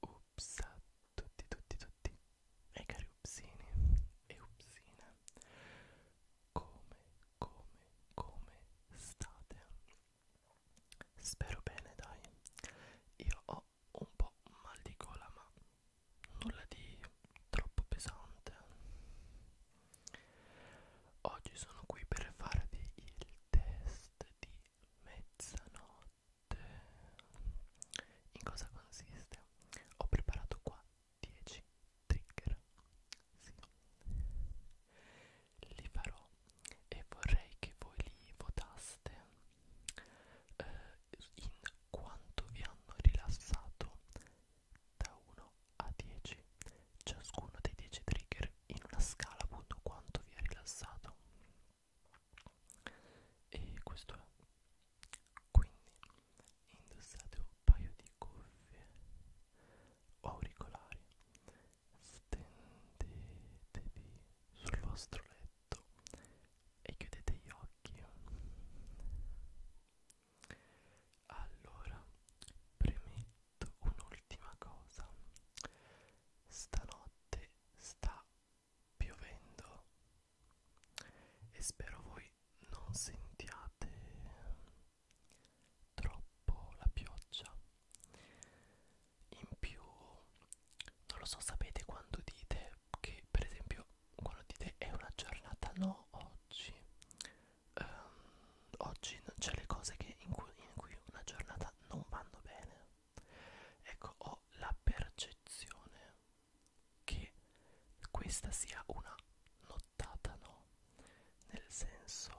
Ups a tutti tutti tutti e cari upsini e upsine Come come come state? Spero bene dai Io ho un po' mal di gola ma nulla di troppo pesante Oggi sono qui per farvi il test di mezzanotte. In cosa consiste? Ho preparato qua 10 trigger. Sì. Li farò e vorrei che voi li votaste eh, in quanto vi hanno rilassato da 1 a 10 ciascuno dei 10 trigger in una scala appunto quanto vi è rilassato e questo è quindi indossate un paio di cuffie o auricolari stendetevi sul vostro letto e chiudete gli occhi allora, premetto un'ultima cosa. Stanotte sta piovendo e spero voi non sentiate troppo la pioggia. In più, non lo so, sapete quando dite che per esempio quando dite è una giornata no oggi ehm, oggi c'è le cose che in, cui, in cui una giornata non vanno bene ecco ho la percezione che questa sia una nottata no nel senso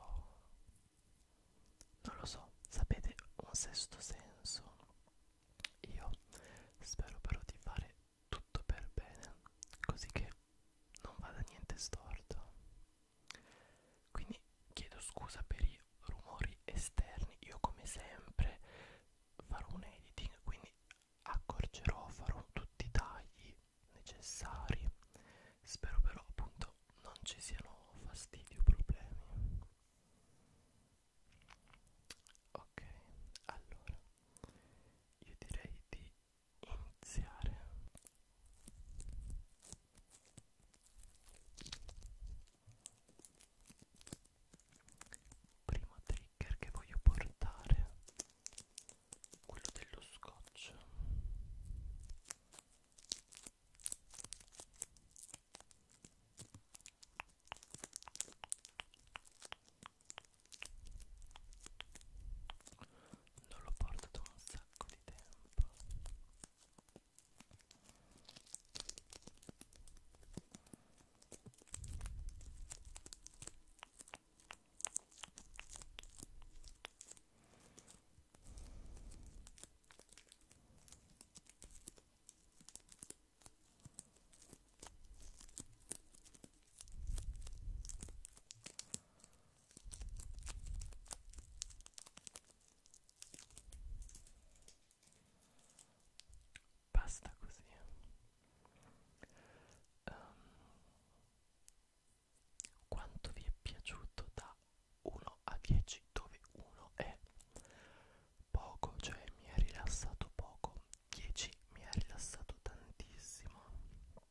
non lo so sapete un sesto senso io spero però di fare tutto per bene così che non vada niente storto quindi chiedo scusa per i rumori esterni io come sempre farò un editing quindi accorgerò farò tutti i tagli necessari spero però appunto non ci siano fastidi o problemi ok allora io direi di iniziare primo trigger che voglio portare quello dello scotch non lo porto da un sacco di tempo Basta così. Um, quanto vi è piaciuto da 1 a 10 dove 1 è poco, cioè mi ha rilassato poco, 10 mi ha rilassato tantissimo.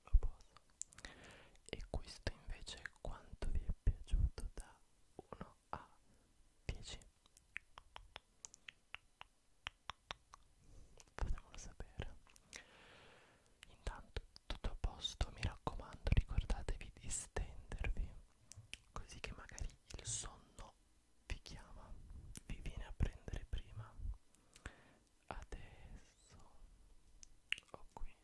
lo poso e questo invece è quanto vi è piaciuto da 1 a 10 fatemelo sapere intanto tutto a posto mi raccomando ricordatevi di stendervi così che magari il sonno vi chiama vi viene a prendere prima adesso ho qui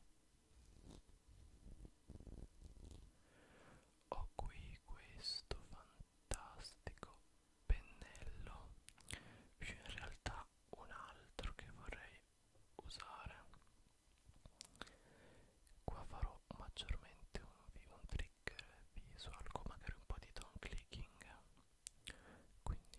ho qui questo fantastico pennello, più in realtà un altro che vorrei usare. Qua farò maggiormente un, un trick visual con magari un po' di down clicking. Quindi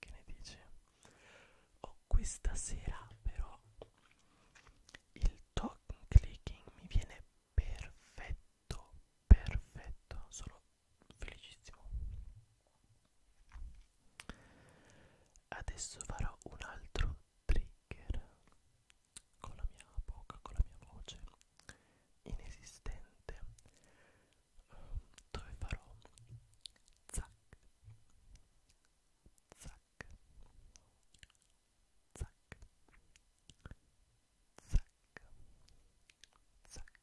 Che ne dici? Oh, questa sera però il talk clicking mi viene perfetto, perfetto, sono felicissimo. Adesso farò un altro trigger con la mia bocca, con la mia voce inesistente ehm, dove farò zac zac zac zac zac zac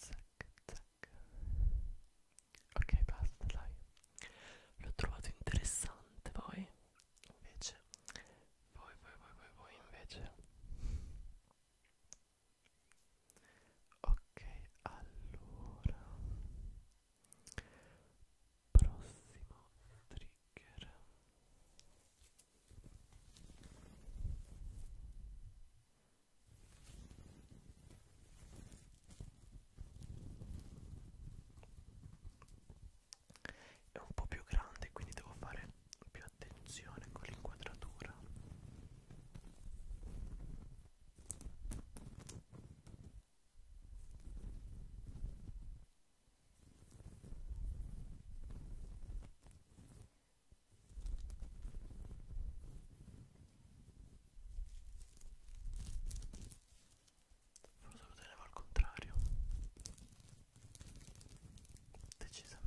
zac, zac. Ok, basta, dai. L'ho trovato interessante, voi invece. Voi, voi, voi, voi, voi invece. Ok, allora. Prossimo trigger è un po' più grande quindi devo fare più attenzione con l'inquadratura Forse lo tenevo al contrario. Decisamente.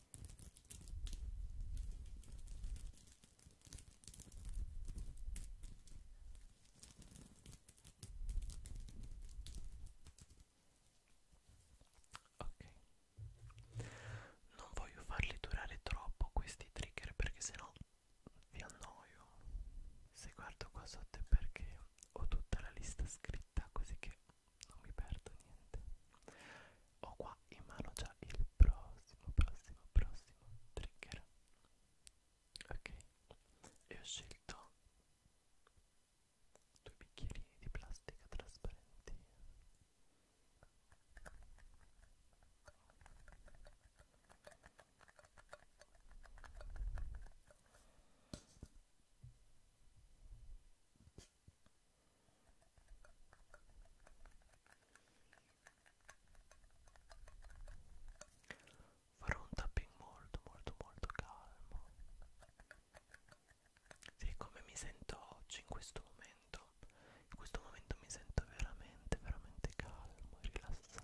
Ok, non voglio farli durare troppo questi trigger perché sennò vi annoio. Se guardo qua sotto è perché ho tutta la lista scritta così che non mi perdo niente ho qua in mano già il prossimo, prossimo, prossimo trigger ok e ho scelto due bicchierini di plastica trasparenti farò un tapping molto molto molto calmo di come mi sento oggi in questo momento in questo momento mi sento veramente veramente calmo e rilassato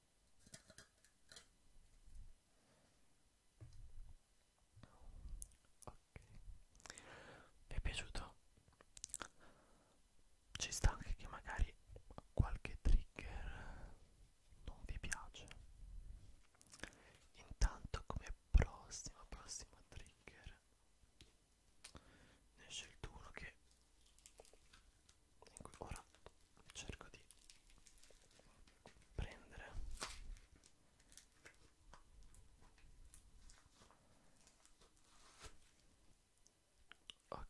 Ok, vi è piaciuto? Ci sta anche che magari qualche trigger non vi piace. Intanto come prossima, prossima trigger ne ho scelto uno che Ecco, ora cerco di prendere ok ho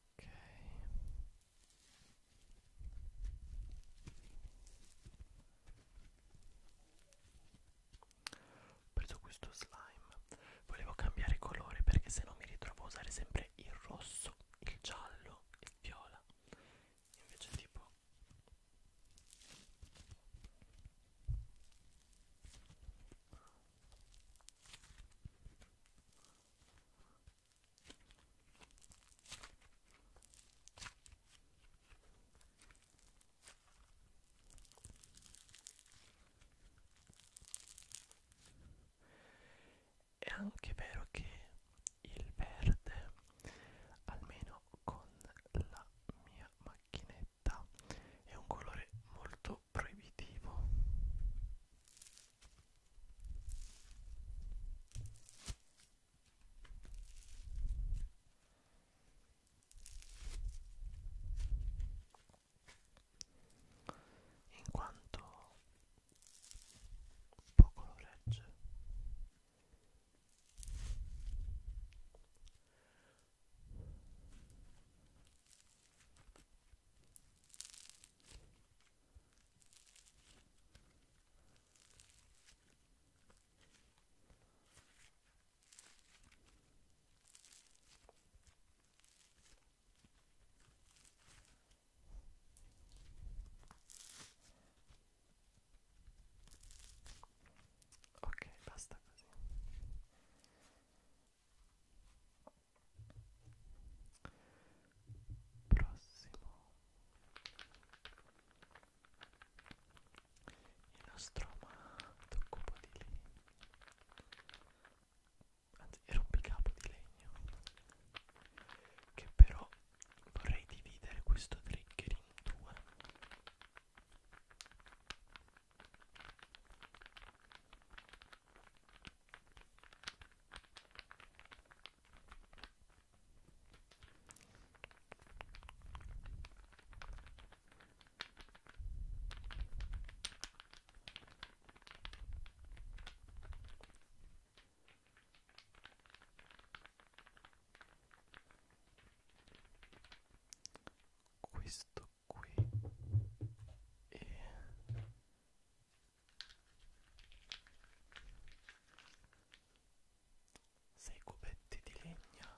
preso questo slime rosso volevo cambiare colore perché se no mi ritrovo a usare sempre il rosso il giallo il viola invece tipo è anche vero che il verde, almeno con la mia macchinetta, è un colore molto proibitivo in quanto poco lo regge Ok, basta così. Prossimo. Il nostro amato cubo di lì anzi è rompicapo di legno che però vorrei dividere questo trigger in due questo qui e sei cubetti di legna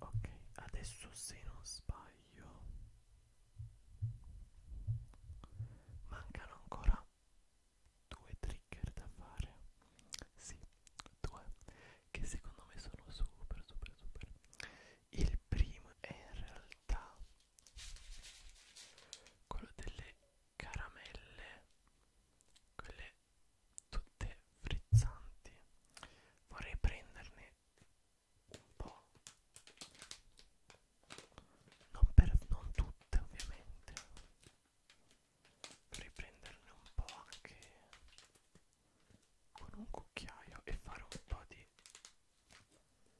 ok adesso se non sbaglio mancano ancora due trigger da fare sì due che secondo me sono super super super il primo è in realtà quello delle caramelle quelle tutte frizzanti vorrei prenderne un po' non, per, non tutte ovviamente vorrei prenderne un po' anche con un cucchiaio e fare un po' di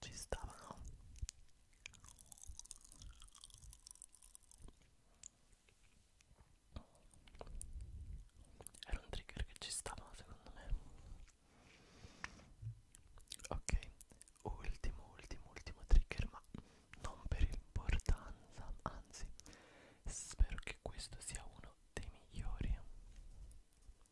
ci stavano era un trigger che ci stava secondo me ok ultimo ultimo ultimo trigger ma non per importanza anzi spero che questo sia uno dei migliori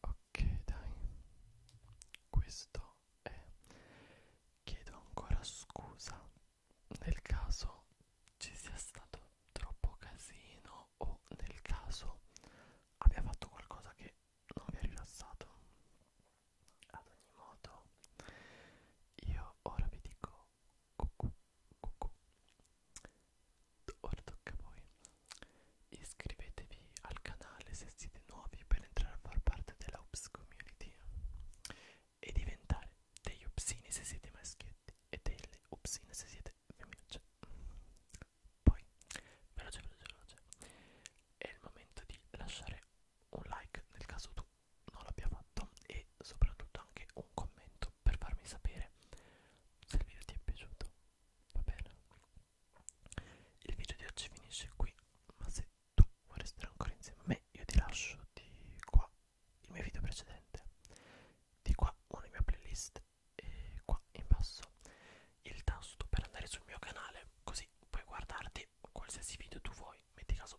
Ok dai, questo è. Chiedo ancora scusa nel caso ci sia stato troppo casino o nel caso abbia fatto qualcosa che non vi ha rilassato. Ad ogni modo, io ora vi dico cucù, cucù. Ora tocca a voi. Iscrivetevi al canale se siete nuovi per entrare a far parte della Ups Community e diventare degli upsini se siete maschietti e delle upsine se siete femminucce. Cioè, poi, veloce, veloce, veloce, è il momento di lasciare un like nel caso tu non l'abbia fatto e soprattutto anche un commento commento per farmi sapere se il video ti è piaciuto va bene il video di oggi finisce qui ma se tu vuoi restare ancora insieme a me io ti lascio di qua il mio video precedente di qua una mia playlist e qua in basso il tasto per andare sul mio canale così puoi guardarti qualsiasi video tu vuoi metti caso